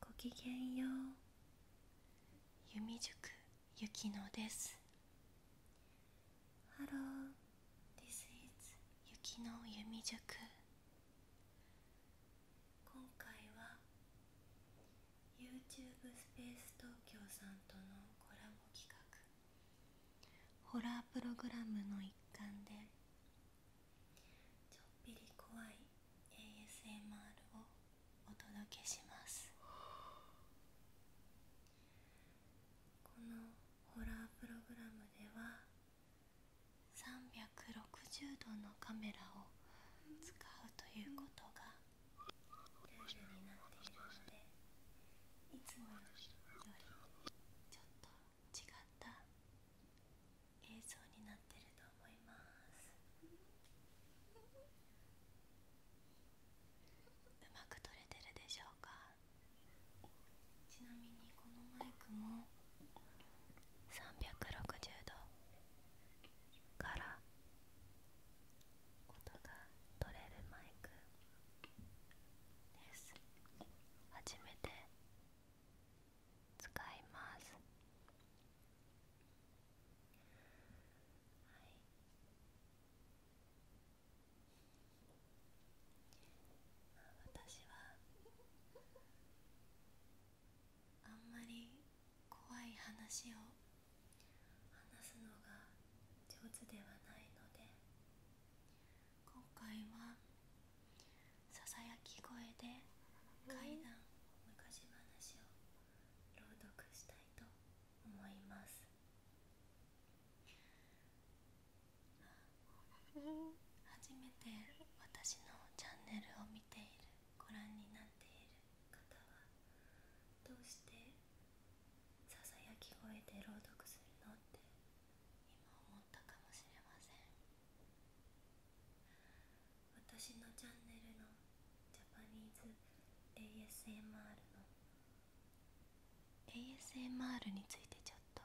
ごきげんよう弓塾ゆきのですハロー、l o this i ゆきの弓塾今回は YouTube スペース東京さんとのコラボ企画ホラープログラムの一環でちょっぴり怖い ASMR をお届けしますこのホラープログラムでは360度のカメラを使うということがルールになっているのでいつもよりちょっと違った映像になってると思いますうまく撮れてるでしょうかちなみにこのマイクも360度から音が取れるマイクです初めて使いますはい私はあんまり怖い話を話すのが上手ではないので今回はささやき声で階段。昔話を朗読したいと思います初めて私のチャンネルを見ているご覧になっている方はどうしてささやき声で朗読するのって今思ったかもしれません私のチャンネルのジャパニーズ ASMR の ASMR についてちょっと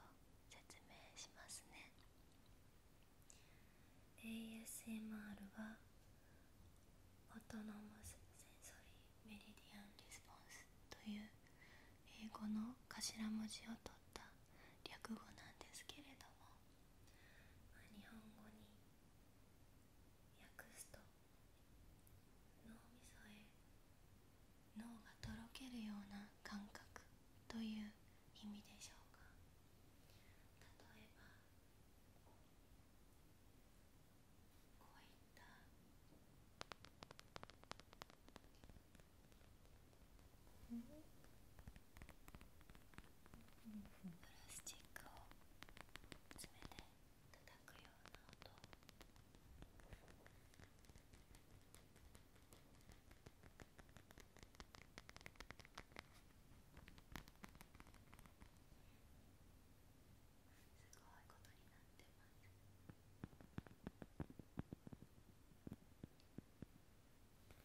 説明しますね ASMR はオトノマスセンソリーメリディアンリスポンスという英語の頭文字を取った略語なんですけれども日本語に訳すと脳みそへ脳がとろけるような感覚という意味でしょうか例えばこういったうんプラスチックを詰爪で叩くような音すごいことになってます。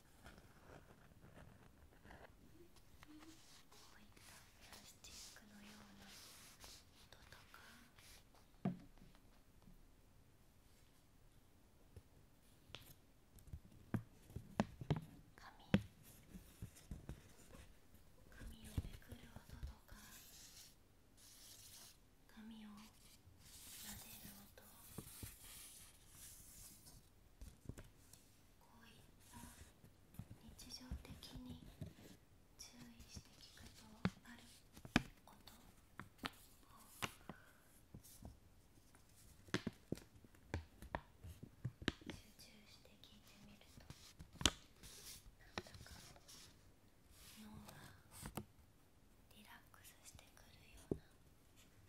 こういったプラスチックのような音とか紙紙をめくる音とか紙をなでる音こういった日常的に注意して聞くとあることを集中して聞いてみるとなんか脳がリラックスしてくるような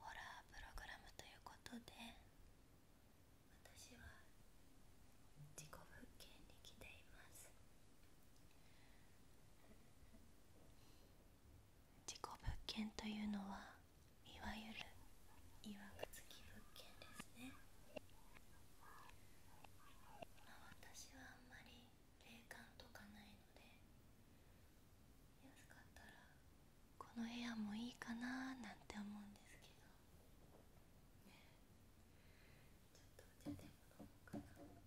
ホラープログラムということで私は自己物件に来ています自己物件というのはいわゆるいわくつき物件ですね、まあ、私はあんまり霊感とかないので安かったらこの部屋もいいかななんて思うんですけどねちょっとお茶でも飲もうかな。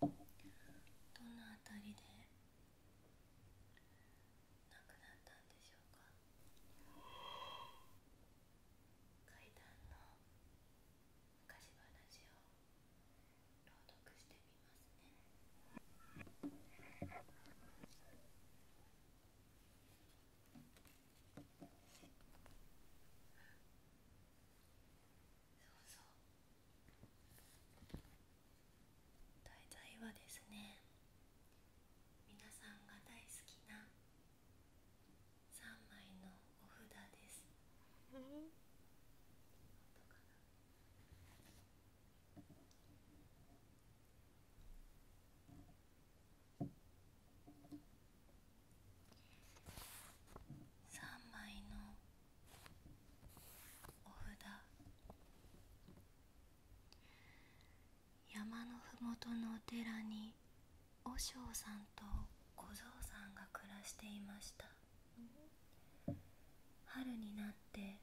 ここどのあたりでなくなったんでしょうか階段の昔話を朗読してみますねそうそう題材はですね皆さんが大好きな3枚のお札です。3枚のお札山のふもとのお寺に和尚さんと小僧さんが暮らしていました、うん、春になって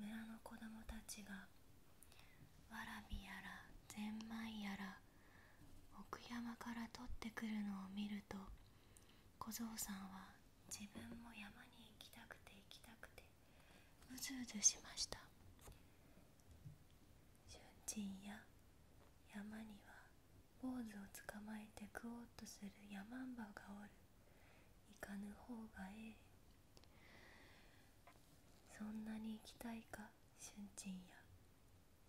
村の子供たちがわらびやらぜんまいやら奥山から取ってくるのを見ると小僧さんは自分も山に行きたくて行きたくてうずうずしました俊珍や山には坊主をつかまえて食おうとする山マンがおる行かぬ方がええそんなに行きたいか俊珍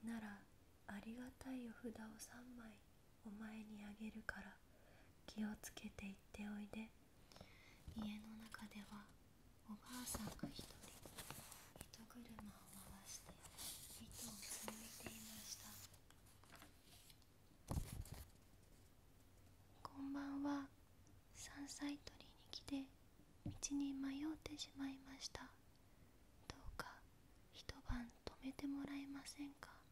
やならありがたいお札を3枚お前にあげるから気をつけて行っておいで家の中ではおばあさんが一人糸車を回して糸を紡いていましたこんばんは山菜採りに来て道に迷ってしまいましたどうか一晩泊めてもらえませんか「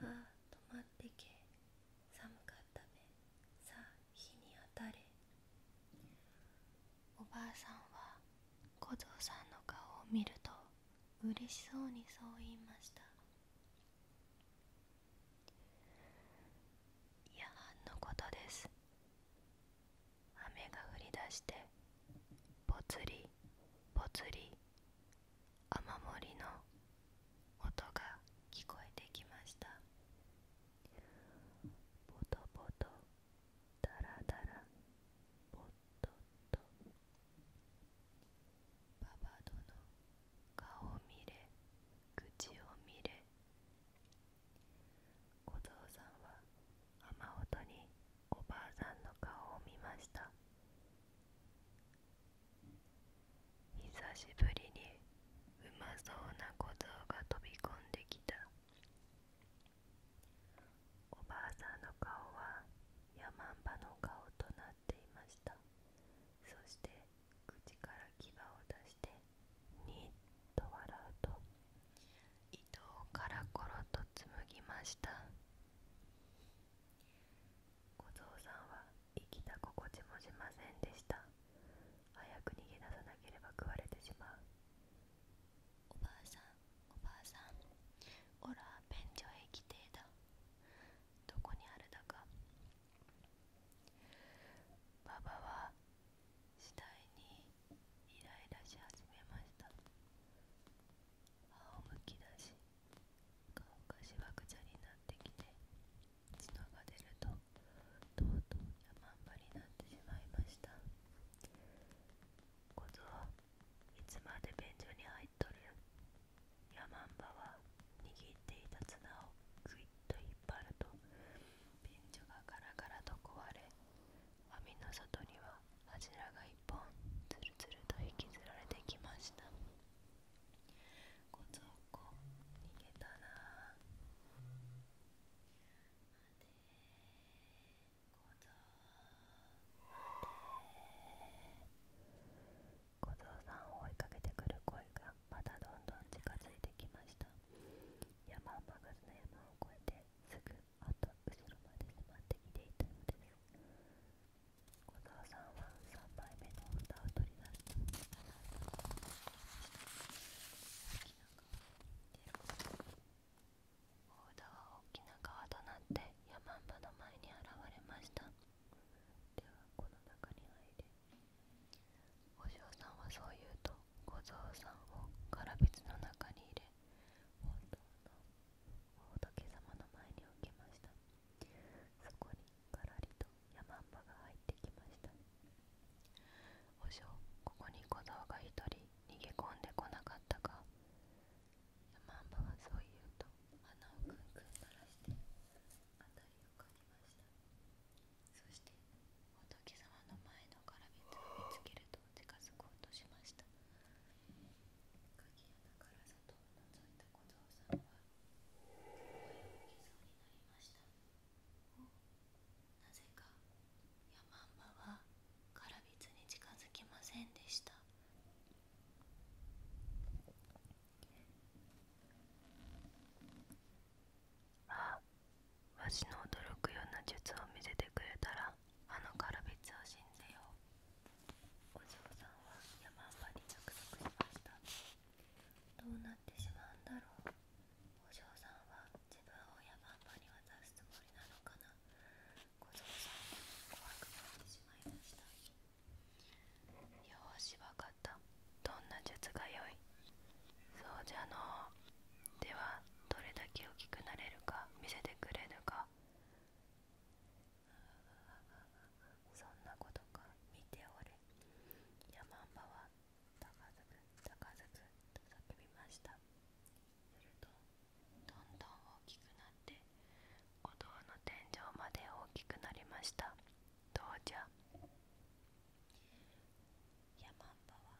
ああ止まってけ寒かったべさあ日に当たれ」おばあさんは小僧さんの顔を見ると嬉しそうにそう言いました夜半のことです雨が降り出してぽつりぽつり雨漏りの音が聞こえてきましたぽとぽとダラダラ。ぽっとっとパパ殿顔を見れ口を見れ小僧さんは雨音におばあさんの顔を見ました久しぶりにうまそうな小僧が飛び込んできたおばあさんの顔はヤマンバの顔となっていましたそして口から牙を出してニッと笑うと糸をカラコロと紡ぎました小僧さんは生きた心地もしませんでした早く逃げ出さなければ食われてしまうおばあさんおばあさんおら便所へ行きてえだどこにあるだかばばは次第にイライラし始めました仰むきだし顔がしわくちゃになってきて血のが出るととうとう山んばになってしまいました小僧いつまで便所に入っとる山んばは握っていた綱をぐいっと引っ張ると便所がガラガラと壊れ網の外には柱が一本つるつると引きずられてきましたこぞこ逃げたな待てこぞ小僧さんを追いかけてくる声がまたどんどん近づいてきました山を曲がずの山を越えてすぐあ後ろまで迫ってきていたのです小僧さんは3杯目のお歌を取り出した大きなは大きな川となって山んばの前に現れましたではこの中に入れお嬢さんはそう言うと小僧さんを唐びの中に入れ本当の仏様の前に置きましたそこにがらりとヤマンバが入ってきましたお嬢ここに小僧が一人逃げ込んでこなかったかヤマンバはそう言うと穴をくんくん鳴らしてあたりをかぎましたそして仏様の前のからびつを見つけると近づこうとしました鍵穴から探里を覗いた小僧さんは声をきそうになりましたなぜかヤマンバはガラビツに近づきませんでしたあわしの驚くような術を見せてくれたらあのカラビツを死んでよお嬢さんは山んばに約束しましたどうなってしまうんだろうお嬢さんは自分を山んばに渡すつもりなのかな小僧さんは怖くなってしまいましたよしわかったどんな術が良いそうじゃのではどれだけ大きくなれるか見せてくれるかそんなことか見ておれヤマンバは高づくかずくと叫びましたするとどんどん大きくなってお堂の天井まで大きくなりましたどうじゃヤマンバは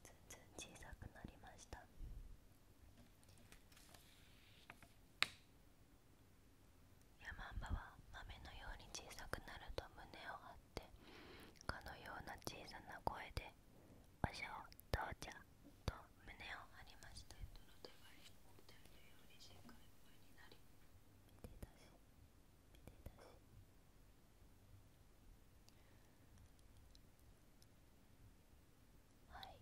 ずんずん小さくなりましたヤマンバは雨のように小さくなると胸を張ってかのような小さな声で「おしゃおじゃ」と胸を張りましたはい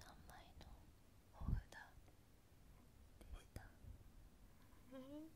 3枚のお札でした、ではでは皆さんまた次回ごきげんよう